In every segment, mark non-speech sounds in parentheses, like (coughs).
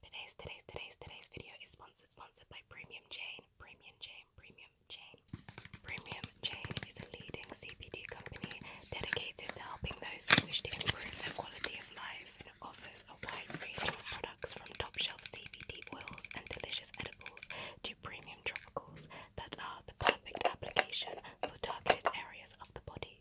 Today's today's today's today's video is sponsored sponsored by Premium Chain. Premium Chain. Premium Chain. Premium Chain is a leading CBD company dedicated to helping those who wish to improve their quality of life and offers a wide range of products from top shelf CBD oils and delicious edibles to premium tropicals that are the perfect application for targeted areas of the body.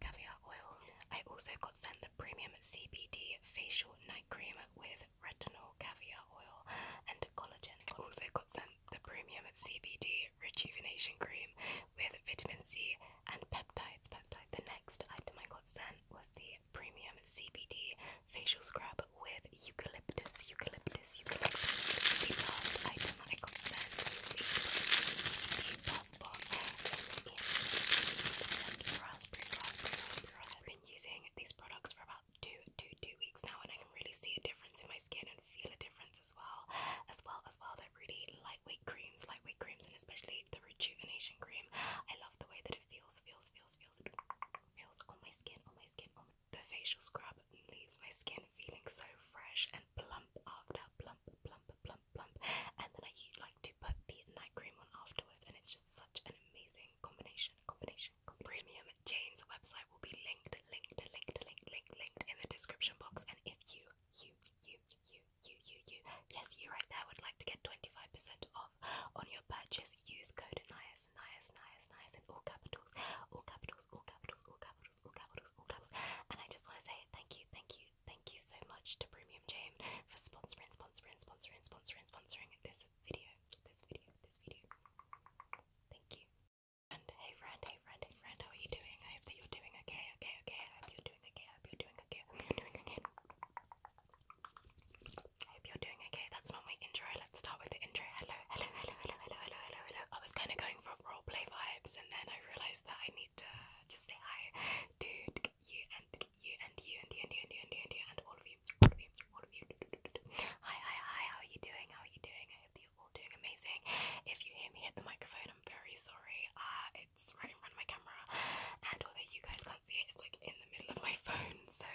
caviar oil. I also got sent the premium CBD facial night cream with retinol caviar oil and collagen. Also got sent the premium CBD rejuvenation cream with vitamin C and peptides. Peptides. The next item I got sent was the premium CBD facial scrub with eucalyptus, eucalyptus, eucalyptus. The last item I got sent helpful. raspberry, raspberry, raspberry, raspberry. I've been using these products for about two, two, two weeks now, and I can really see a difference in my skin and feel a difference as well. As well as well, they're really lightweight creams, lightweight creams, and especially the rejuvenation cream. I love the way that it feels, feels, feels, feels, feels on my skin, on my skin, the facial scrub leaves my skin feeling so fresh and plump after plump, plump, plump, plump. And then I like to put the night cream on afterwards, and it's just such an amazing combination. Combination. Premium Jane's website will be linked, linked, linked, linked, linked, linked in the description box. And if you, you, you, you, you, you, you, yes, you right there would like to get 25% off on your purchase, use code NIAS, NIAS, NIAS, NIAS in all capitals, all capitals, all capitals, all capitals, all capitals, all capitals. And I just want to say thank you, thank you, Thank you so much to Premium Jane for sponsoring, sponsoring, sponsoring, sponsoring, sponsoring this video, this video, this video. Thank you. And hey friend, hey friend, hey friend, how are you doing? I hope that you're doing okay, okay, okay. I hope you're doing okay. I hope you're doing okay. I hope you're doing okay. I hope you're doing okay. That's not my intro. Let's start with the intro. Hello, hello, hello, hello, hello, hello, hello, hello. I was kind of going for roleplay vibes and then I realized that I need to just say hi to you and you and you and you and you and you and you and you and all of you, all of you, all of you. Hi, hi, hi, how are you doing? How are you doing? I hope that you're all doing amazing. If you hear me hit the microphone, I'm very sorry. Uh, it's right in front of my camera, and although you guys can't see it, it's like in the middle of my (laughs) phone, so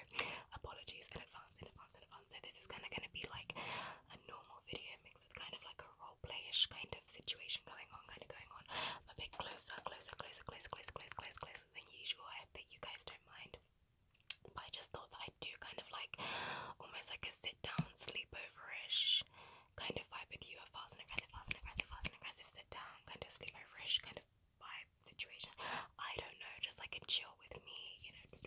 apologies in advance, in advance, in advance. So, this is kind of going to be like a normal video mixed with kind of like a raw role playish kind of situation going on, kind of going on. a bit closer, closer, closer, closer, closer, closer, closer, than usual. I hope that you guys don't mind. But I just thought that I'd do kind of like almost like a sit down, sleepover-ish kind of vibe with you, a fast and aggressive, fast and aggressive, fast and aggressive sit down, kind of sleepover-ish kind of vibe situation. I don't know, just like a chill with me, you know,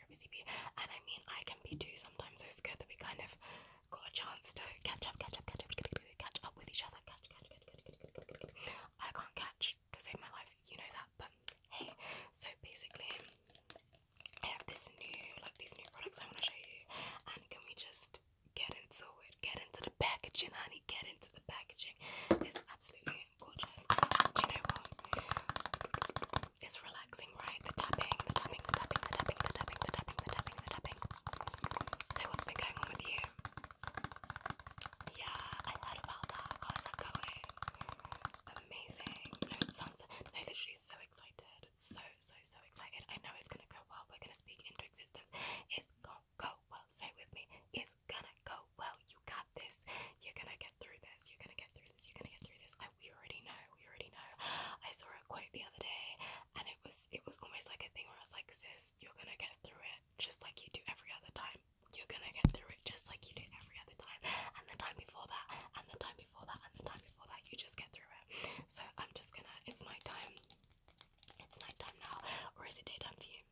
you're a busy bee. And I mean, I can be too sometimes, so it's good that we kind of got a chance to catch up, catch up, catch up, catch up with each other. Catch, catch, catch, catch, catch, catch, catch, catch. I can't catch to save my life, you know that, but hey. So basically, I have this new, like these new products I want to show you. And can we just get into it? Get into the packaging, honey. Get into the packaging. It's absolutely gorgeous. Do you know what? It's relaxing, right? The tapping, the tapping, the tapping, the tapping, the tapping, the tapping, the tapping, the tapping. So what's been going on with you? Yeah, I heard about that. How is that going? Amazing. No, it sounds so, no, literally so excited. So, so, so excited. I know it's gonna go well. We're gonna speak into existence. It's gonna go well. Say with me. It's gonna go well. You got this. You're gonna get through this, you're gonna get through this, you're gonna get through this. I we already know, we already know. I saw a quote the other day and it was it was almost like a thing where I was like, sis, you're gonna get through it just like you do every other time. You're gonna get through it just like you do every other time. And the time before that, and the time before that, and the time before that, you just get through it. So I'm just gonna it's night time. It's night time now, or is it daytime for you?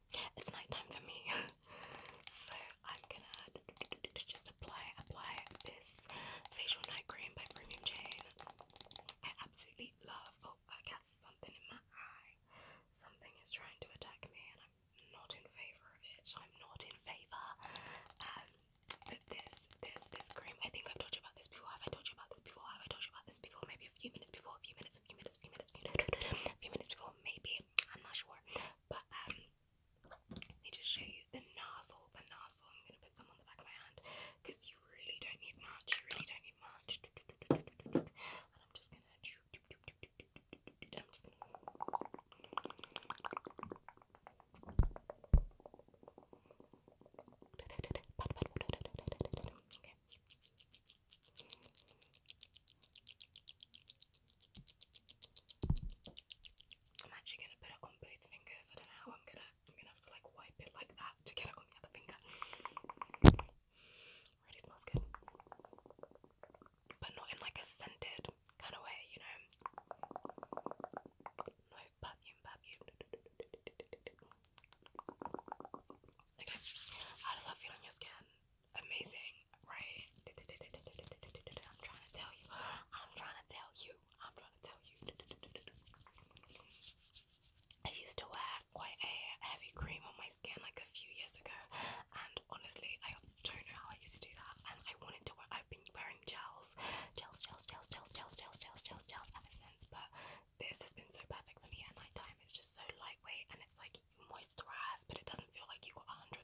It's night time for me. (laughs) so I'm gonna just apply apply this facial night cream by Premium Chain. I absolutely love. Oh, I got something in my eye. Something is trying to attack me, and I'm not in favor of it. I'm not in favor. Um, this this this cream. I think I've told you about this before. Have told you about this before? Have told you about this before? Maybe a few minutes before. A few minutes. A few minutes. A few minutes. A few minutes. A few minutes before. Maybe. I'm not sure. But um, let me just show you the nozzle. The nozzle. I'm gonna put some on the back of my hand you really don't need much. You really don't need much. And I'm just gonna. I'm actually gonna put it on both fingers. I don't know how I'm gonna I'm gonna have to like wipe it like that to get it on the other finger. Really smells good. But not in like a scented kind of way, you know. How does that feel on your skin? amazing, right? I'm trying to tell you. I'm trying to tell you. I'm trying to tell you. I used to wear quite a heavy cream on my skin like a few years ago, and honestly, I don't know how I used to do that. And I wanted to wear. I've been wearing gels, gels, gels, gels, gels, gels, gels, gels, gels, gels ever since. But this has been so perfect for me at night time. It's just so lightweight, and it's like you moisturize, but it doesn't feel like you got a hundred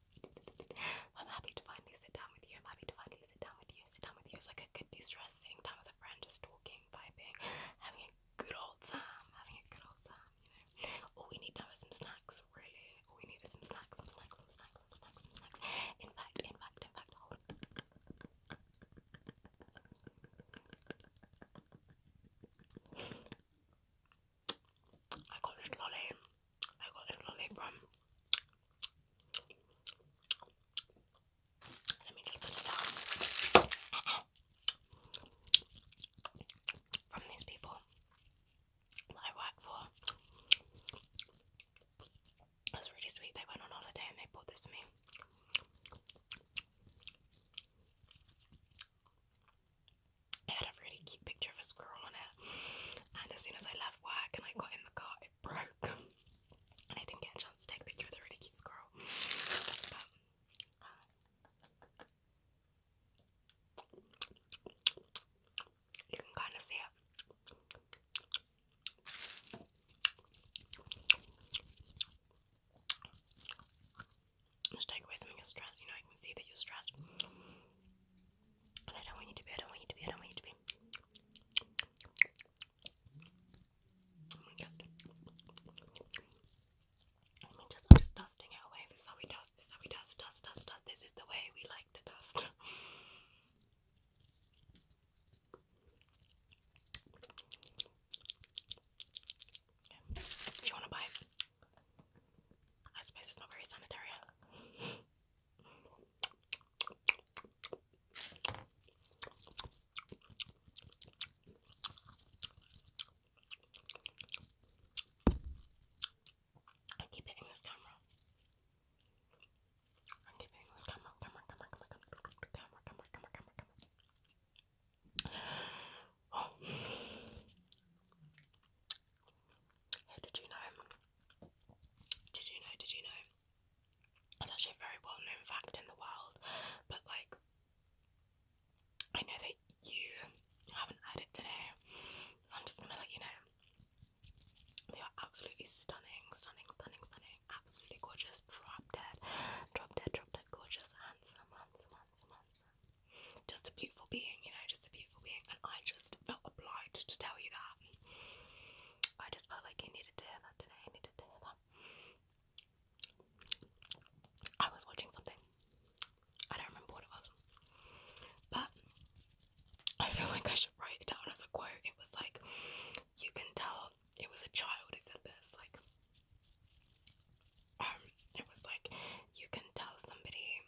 I'm happy to finally sit down with you. I'm happy to finally sit down with you. Sit down with you is like a good de stress sitting down with a friend, just talking, vibing, having a good old time, having a good old time, you know. All we need now is some snacks, really. All we need is some snacks, some snacks, some snacks, some snacks, some snacks. In fact, in fact, in fact, hold on. I got a little lolly. I got this lolly from. Let me just put it down. (coughs) from these people that I work for. That's really sweet. They went on holiday and they bought this for me. It had a really cute picture of a squirrel on it, and as soon as I left work and I got in the car, it broke, (laughs) and I didn't get a chance to take a picture with a really cute squirrel. Uh, you can kind of see it. Just take away some of your stress, you know, I can see that you're stressed. And I don't want you to be, I don't want you to be, I don't want you to be. Let oh me just, let me just, I'm just dusting it away. This is how we dust, this is how we dust, dust, dust, dust. This is the way we like to dust. (laughs) Yeah. Do you want to buy it? I suppose it's not very sanitary. I keep hitting this camera. I keep hitting this camera, camera, camera, camera, camera, camera, camera, camera, camera, camera. Oh, did you know? Did you know? Did you know? It's actually a very well known fact in the world, but like, I know that you haven't heard it today, so I'm just gonna let you know. They are absolutely stunning, stunning, stunning, stunning, absolutely gorgeous, drop dead, drop dead, drop dead, gorgeous, handsome, handsome, handsome, handsome just a beautiful being, you know, just a beautiful being. And I just felt obliged to tell you that. I just felt like you needed to hear that today. I needed to hear that. I was watching something. I don't remember what it was. But I feel like I should write it down as a quote. It was like, you can tell it was a child who said this. Like, um, it was like, you can tell somebody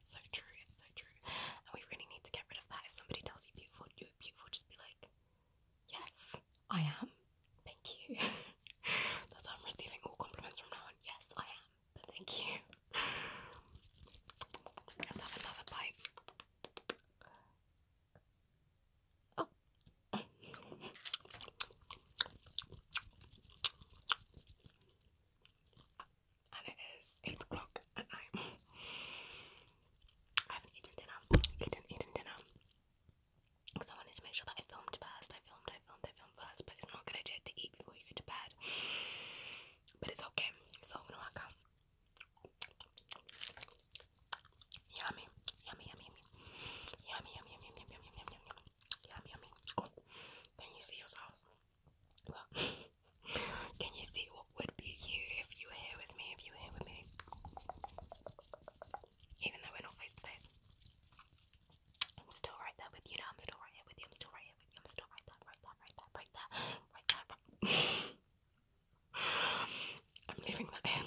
It's so true. It's so true. And we really need to get rid of that. If somebody tells you beautiful, you're beautiful, just be like, yes, I am. Thank you. (laughs) That's how I'm receiving all compliments from now on. Yes, I am. thank you. Let's have another bite. Oh and it is 8 o'clock at night. (laughs) I haven't eaten dinner, eaten, eaten dinner. Because I wanted to make sure that I filmed first. I filmed, I filmed, I filmed first, but it's not a good idea to eat before you go to bed. But it's okay, so i gonna work out. Yummy, yummy, yummy, yummy. Yummy, yummy, yummy, yummy, yummy, yummy, yummy, yummy, oh, can you see yourselves? (laughs) can you see what would be you if you were here with me? If you were here with me, even though we're not face to face, I'm still right there with you. Now I'm still right here with you. I'm still right here with you. I'm still right there, right there, right there, right there, (laughs) I'm leaving that in.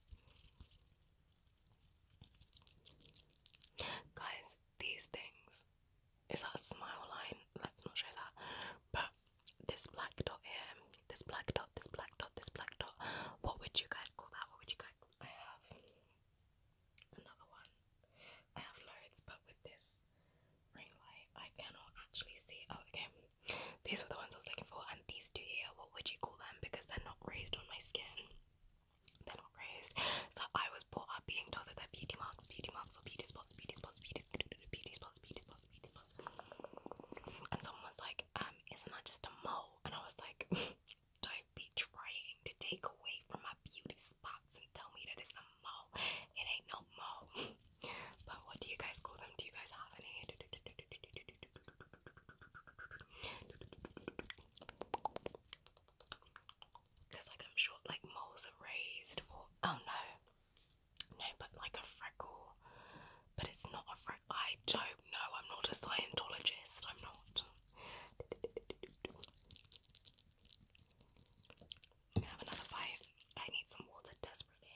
Guys, these things is that a smile line? Let's not show that. But this black dot here, this black dot, this black dot, this black dot. What would you guys call that? What would you guys? I have another one. I have loads, but with this ring light, I cannot actually see. Oh, okay. These were the ones I was looking for, and these two here, what would you call them? Because they're not raised on my skin. They're not raised. So I was brought up being told that they're beauty marks, beauty marks, or beauty spots, beauty spots, beauty beauty spots, beauty spots, beauty spots. And someone was like, um, isn't that just a mole? And I was like, (laughs) don't be trying to take away from my beauty spots and tell me that it's a mole. It ain't no mole. (laughs) But what do you guys call them? Do you guys have any? Because, like, I'm like, moles are raised, or oh no, no, but like a freckle, but it's not a freckle. I don't know, I'm not a Scientologist, I'm not. have another bite. I need some water desperately.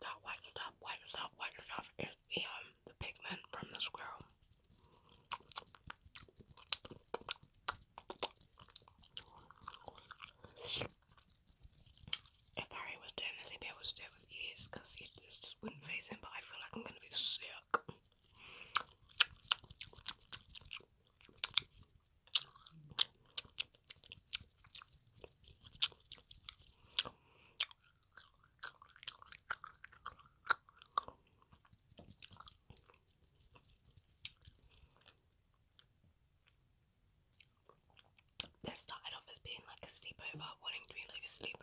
That white stuff, white stuff, white stuff is the um the pigment from the squirrel. If Barry was doing this, he'd be able to do it with ease because he just wouldn't face him, but I feel like I'm gonna be sick. This started off as being like a sleepover, wanting to be like a sleepover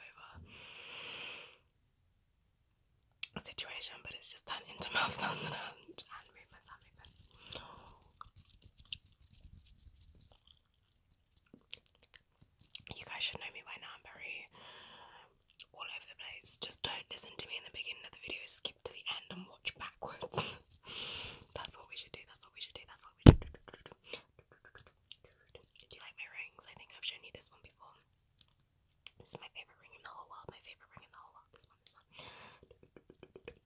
situation, but it's just turned into (laughs) mouth sounds and movements, hand movements. You guys should know me by now, I'm very um, all over the place. Just don't listen to me in the beginning of the video, skip to the end and watch backwards. (laughs) that's what we should do, that's what we should do, that's what we should do. Do you like my rings? I think I've shown you this one before. This is my favourite ring in the whole world, my favourite ring in the whole world, this one, this one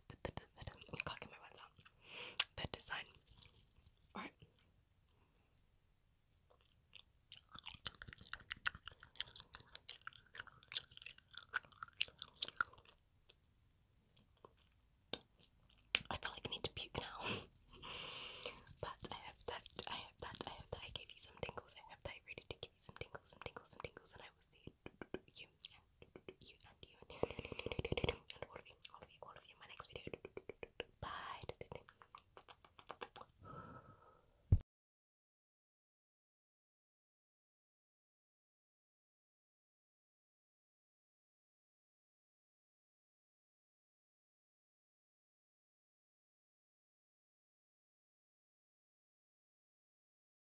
I can't my words out. The design. Alright. I feel like I need to puke now. (laughs) but I hope that I hope that I hope that I gave you some tingles. I hope that I really give you some tingles, some tingles, some tingles, and I will see you, and you, all of you, all of you, all of you in my next video. Bye.